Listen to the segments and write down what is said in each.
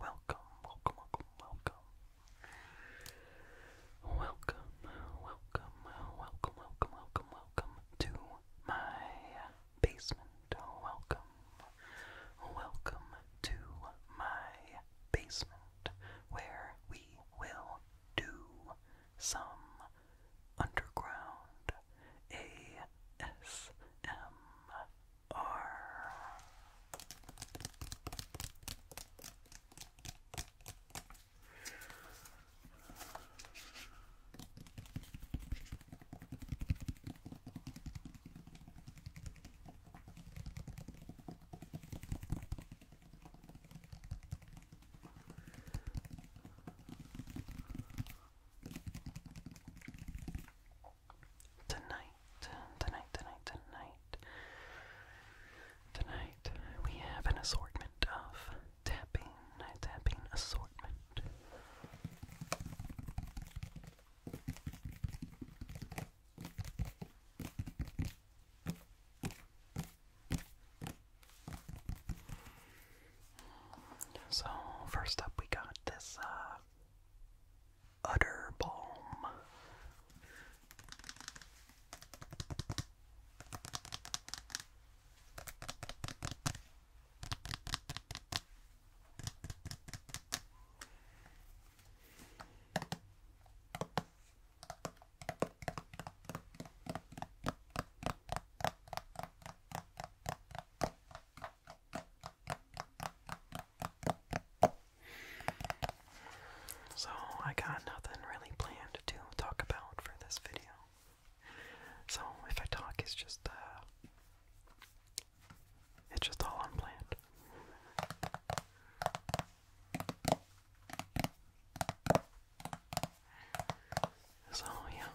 welcome, welcome, welcome, welcome. Welcome, welcome, welcome, welcome, welcome, to my basement. Welcome, welcome to my basement where we will do some underground ASMR. R. Tonight, tonight, tonight, tonight. Tonight we have an assortment of tapping, tapping assortment. So first up we got this uh, Utter Balm. So, I got nothing really planned to talk about for this video. So, if I talk, it's just, uh, it's just all unplanned. So, yeah.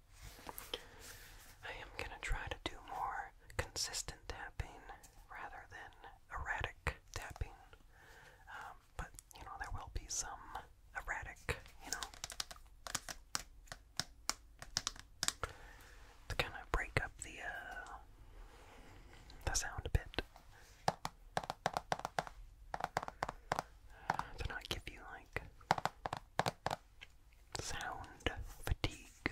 I am going to try to do more consistent tapping rather than erratic tapping. Um, but, you know, there will be some erratic, you know. To kind of break up the, uh, the sound a bit. to not give you, like, sound fatigue.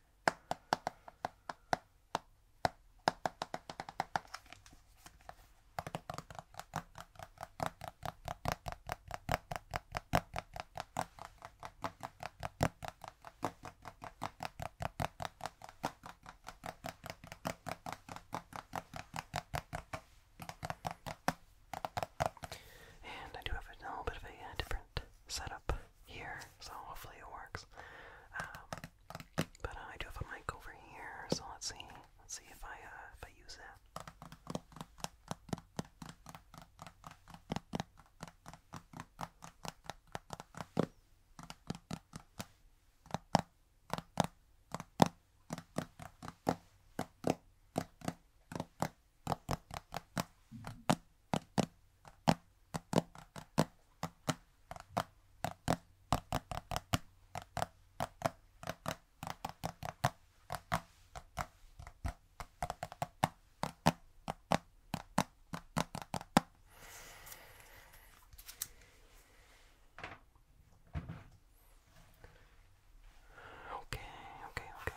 And I do have a little bit of a uh, different setup here, so hopefully it works. Um, but uh, I do have a mic over here, so let's see. Let's see if I uh, if I use that. Okay, okay, okay.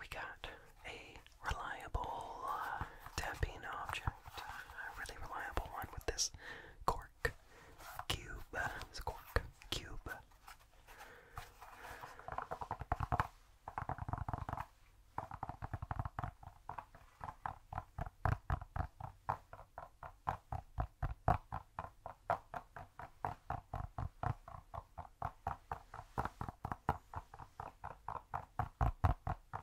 We got a reliable uh, tapping object. A really reliable one with this cork cube. Uh, it's a cork cube.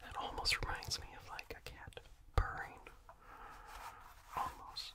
That almost reminds me of like a cat purring. Almost.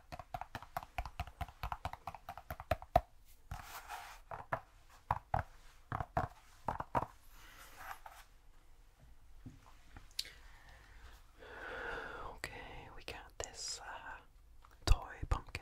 Okay, we got this uh, toy pumpkin.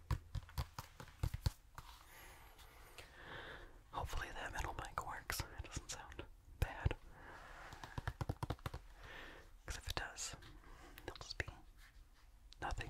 Hopefully that metal mic works. It doesn't sound bad. Because if it does, it'll just be nothing.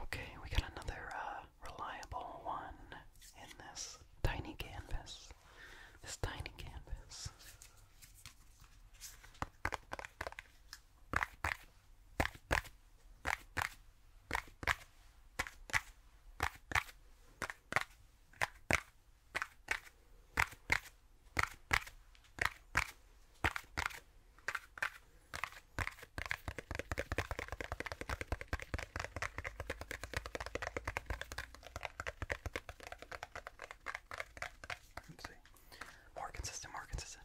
Okay, we got another uh, reliable one in this tiny canvas. This tiny canvas. Let's see. More consistent, more consistent.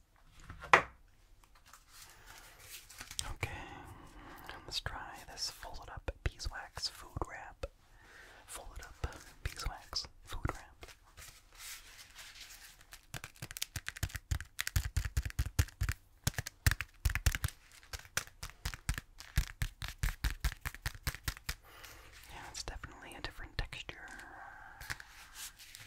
Okay, let's try this folded up beeswax food wrap. Folded up beeswax food wrap. Yeah, it's definitely a different texture.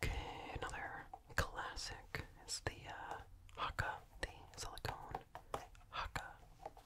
Okay, another classic is the uh, haka, the silicone Hakka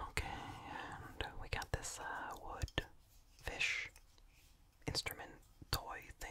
Okay, and we got this uh, wood fish instrument toy thing.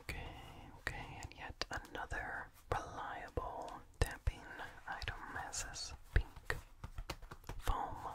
Okay, okay, and yet another reliable tapping item has this pink foam.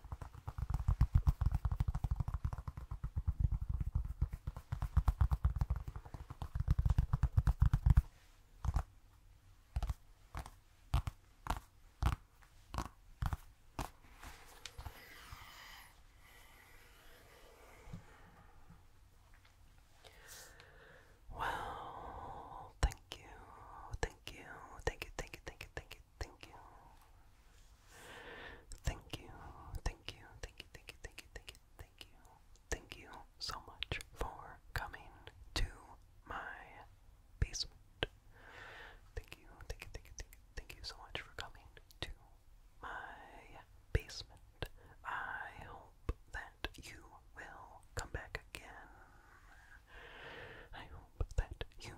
Well, thank you, thank you, thank you, thank you, thank you, thank you, thank you. Thank you, thank you, thank you, thank you, thank you, thank you, thank you. Thank you so much for coming to my basement. Thank you, thank you, thank you, thank you, thank you so much for coming to my basement. I hope that you will come back again. I hope that you